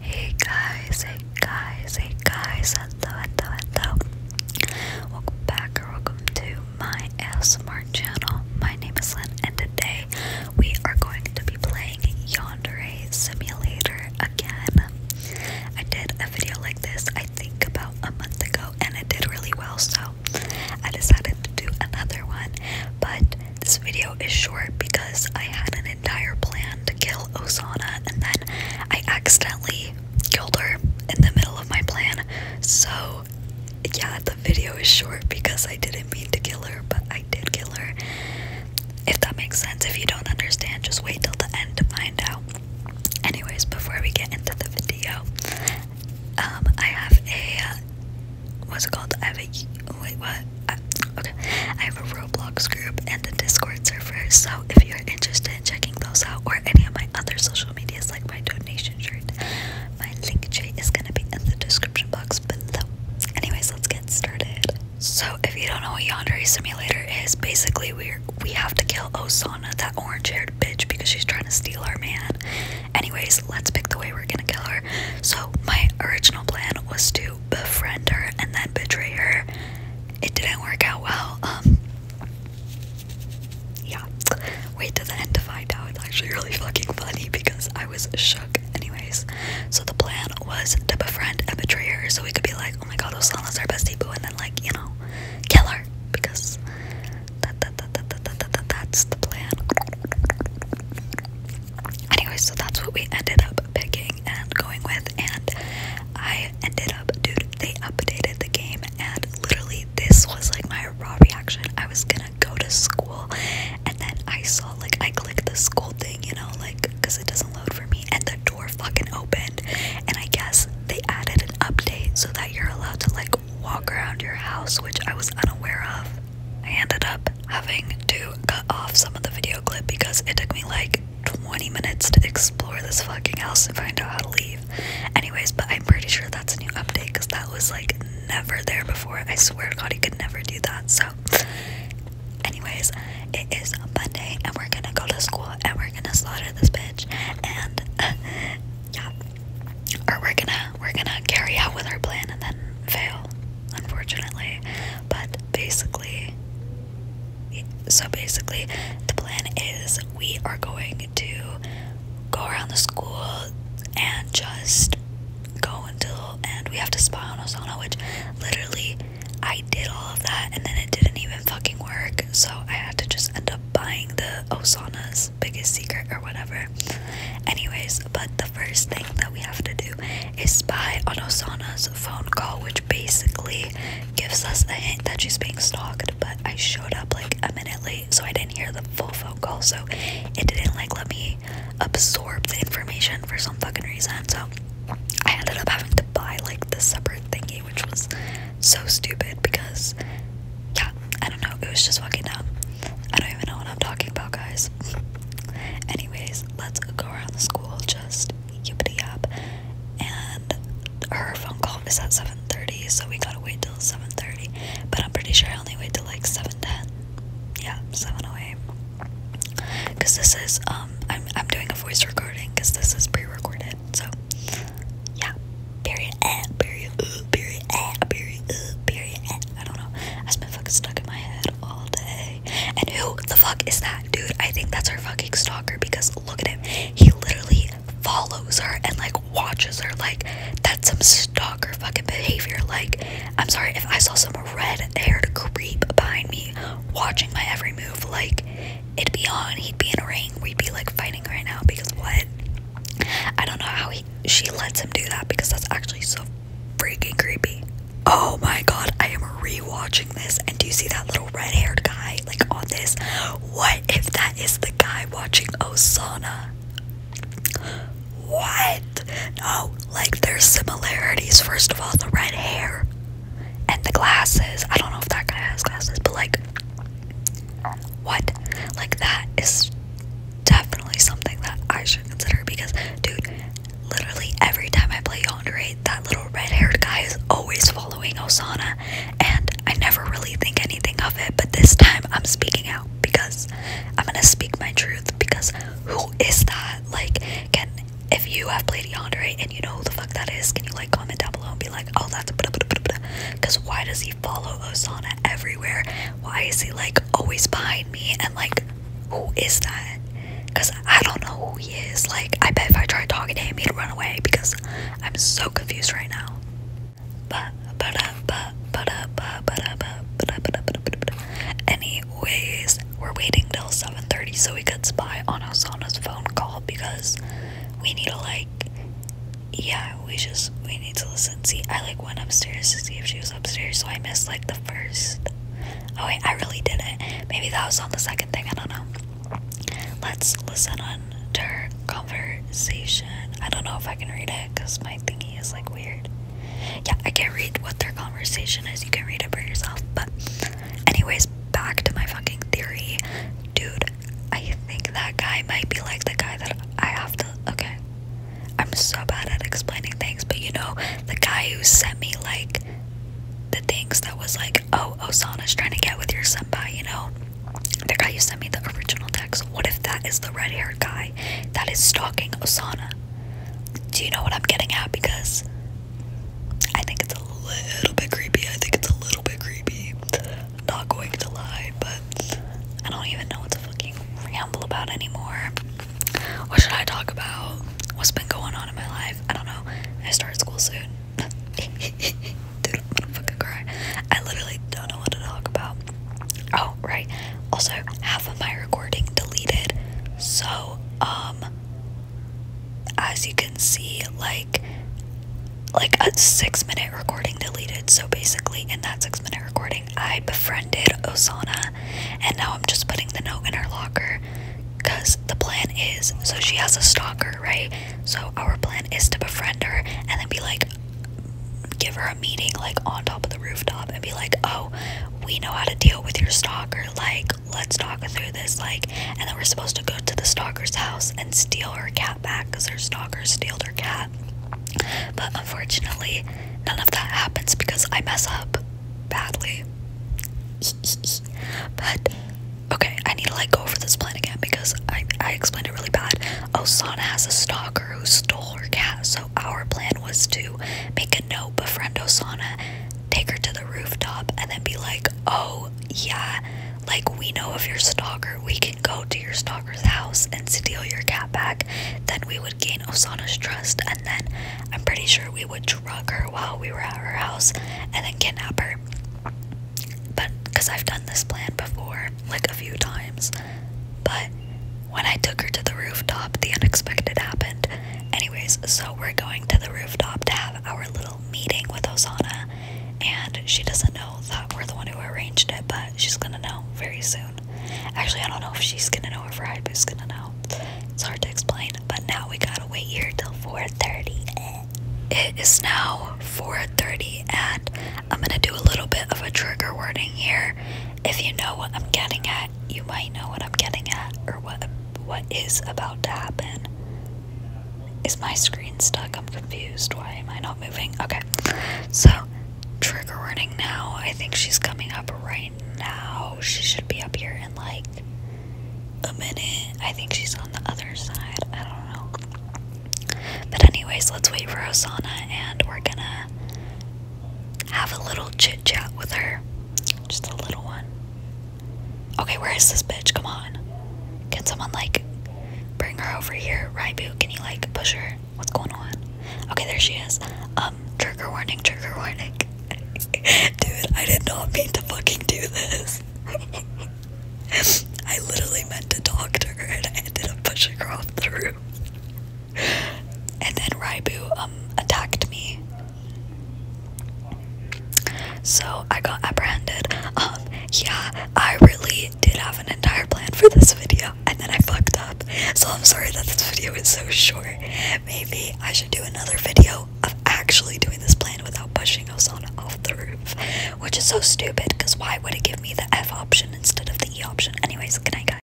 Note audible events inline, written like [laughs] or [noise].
Hey guys, hey guys, hey guys, hello, hello, hello. Welcome back or welcome to my ASMR channel. My name is Lynn and today we are going to be playing Yandere Simulator again. I did a video like this I think about a month ago and it did really well so I decided to do another one but this video is short because I had an entire plan to kill Osana and then I accidentally killed her in the middle of my plan. So, yeah, the video is short because I didn't mean to kill her, but I did kill her. If that makes sense, if you don't understand, just wait till the end to find out. Anyways, before we get into the video, um, I have a what's it called? I have a wait, what? okay, I have a Roblox group and a Discord server. So if you're interested in checking those out or any of my other social medias, like my donation shirt, my link tree is gonna be in the description box below. Anyways, let's get started. So if you don't know what Yandere Simulator is, basically we we have to kill Osana, that orange-haired bitch, because she's trying to steal our man. Anyways, let's pick the way we're gonna kill her. So, my original plan was to befriend her and then betray her. It didn't work out well. Um, yeah. Wait till the end to find out. It's actually really fucking funny because I was shook. Anyways, so the plan was to befriend and betray her so we could be like, oh my god, those Osana's our bestie boo, and then, like, you know, kill her because that, that, that, that, that, that, that, that's the plan. Anyway, so that's what we ended up picking and going with, and I ended up, dude, they updated the game, and literally this was like my raw reaction. I was gonna go to school, and then I saw, like, I clicked the school thing, you know, like, because it doesn't load for me, and the door fucking opened, and I guess they added an update so that you're allowed to, like, walk around your house, which I was unaware of. I ended up having to cut off some of the video clip because it took me like 20 minutes to explore this fucking house and find out how to leave. Anyways, but I'm pretty sure that's a new update because that was like never there before. I swear to God, he could never do that. So, anyways, it is Monday and we're gonna go to school and we're gonna slaughter this bitch. And [laughs] yeah, or we're gonna we're gonna carry out with our plan and then fail, unfortunately. But basically, so basically, the plan is we are going to go around the school and just go until and we have to spy on Osana, which literally I did all of that and then it didn't even fucking work. So I had to just end up buying the Osana's biggest secret or whatever. Anyways, but the first thing that we have to do is spy on Osana's phone call, which basically gives us a hint that she's being stalked. But I showed up like a minute late, so I didn't hear the full phone call, so it didn't like let me absorb the information for some fucking reason. So I ended up having to buy like the separate thingy, which was so stupid because, yeah, I don't know. It was just walking down. I don't even know what I'm talking about, guys. [laughs] Anyways, let's go around the school just yippity yap. And her phone call is at 7:30, so we gotta wait till 7:30. But I'm pretty sure I only wait till like 7:10. Yeah, seven 7:08. Cause this is um, I'm I'm doing a voice recording because this is pre-recorded. So yeah. Period eh, period ooh, period eh, period ooh, period eh. I don't know. i has been fucking stuck in my head all day. And who the fuck is that dude? I think that's her fucking stalker because look at him. He literally follows her and like watches her like that's some stalker fucking behavior. Like, I'm sorry if I saw some red haired creep behind me watching my every move, like it'd be on, he'd be in a ring, we'd be like fighting right now because what? I don't know how he, she lets him do that because that's actually so freaking creepy. Oh my god, I am rewatching this and do you see that little red-haired guy like on this? What if that is the guy watching Osana? What? No, like there's similarities. First of all, the red hair and the glasses. I don't know if that guy has glasses, but like what? Like, that is definitely something that I should consider because, dude, literally every time I play Yonder that little red haired guy is always following Osana, and I never really think anything of it. But this time, I'm speaking out because I'm gonna speak my truth because who is that? Like, can if you have played Yonder you know who the fuck that is, can you like comment down below and be like, oh, that's because why does he follow Osana everywhere? Why is he like always behind me? And like, who is that? Because I don't know who he is. Like, I bet if I tried talking to him, he'd run away because I'm so confused right now. Anyways, we're waiting till 7:30 so we could spy on Osana's phone call because we need to like yeah we just we need to listen see i like went upstairs to see if she was upstairs so i missed like the first oh wait i really did it. maybe that was on the second thing i don't know let's listen on to her conversation i don't know if i can read it because my thingy is like weird yeah i can't read what their conversation is you can read it for yourself but anyways back to my fucking theory Dude, I think that guy might be like the guy that I have to. Okay. I'm so bad at explaining things, but you know, the guy who sent me like the things that was like, oh, Osana's trying to get with your senpai, you know? The guy who sent me the original text. What if that is the red haired guy that is stalking Osana? Do you know what I'm getting at? Because I think it's a little bit creepy. I think it's a little bit creepy. Not going to lie, but I don't even know what to fucking ramble about anymore. What should I talk about? What's been going on in my life? I don't know. I start school soon. [laughs] Dude, I'm gonna fucking cry. I literally don't know what to talk about. Oh, right. Also, half of my recording deleted. So, um, as you can see like like a six minute recording deleted so basically in that six minute recording i befriended osana and now i'm just putting the note in her locker because the plan is so she has a stalker right so our plan is to befriend her and then be like give her a meeting like on top of the rooftop and be like oh we know how to deal with your stalker like let's talk through this. Like, and then we're supposed to go to the stalker's house and steal her cat back because her stalker stole her cat. But unfortunately, none of that happens because I mess up badly. but okay, I need to like go over this plan again because I, I explained it really bad. Osana has a stalker who stole her cat, so our plan was to make no befriend Osana, take her to the rooftop, and then be like, oh yeah, like we know of your stalker, we can go to your stalker's house and steal your cat back. Then we would gain Osana's trust, and then I'm pretty sure we would drug her while we were at her house and then kidnap her. But because I've done this plan before, like a few times, but when I took her to the rooftop, the unexpected happened. Anyways, so we're going to the rooftop to have our little meeting with Osana, and she doesn't know that we're the one who arranged it, but she's gonna know very soon. Actually, I don't know if she's gonna know or if Raibu's gonna know. It's hard to explain, but now we gotta wait here till 4:30. It is now 4:30, and I'm gonna do a little bit of a trigger warning here. If you know what I'm getting at, you might know what I'm getting at or what what is about to happen. Is my screen stuck? I'm confused. Why am I not moving? Okay. So, trigger running now. I think she's coming up right now. She should be up here in like a minute. I think she's on the other side. I don't know. But anyways, let's wait for Osana and we're gonna have a little chit chat with her. Just a little one. Okay, where is this bitch? Come on. Can someone like bring her over here? Rybu, can you like push her? What's going on? Okay, there she is. Um, trigger warning, trigger warning. [laughs] Dude, I did not mean to fucking do this. [laughs] I literally meant to talk to her and I ended up pushing her off the roof. [laughs] and then Raibu um, attacked me. So I got apprehended. Um, yeah, I really did have an entire plan for this video, and then I fucked up. So I'm sorry that this video is so short. Maybe I should do another video of actually doing this plan without pushing Osana off the roof, which is so stupid because why would it give me the F option instead of the E option? Anyways, good guys.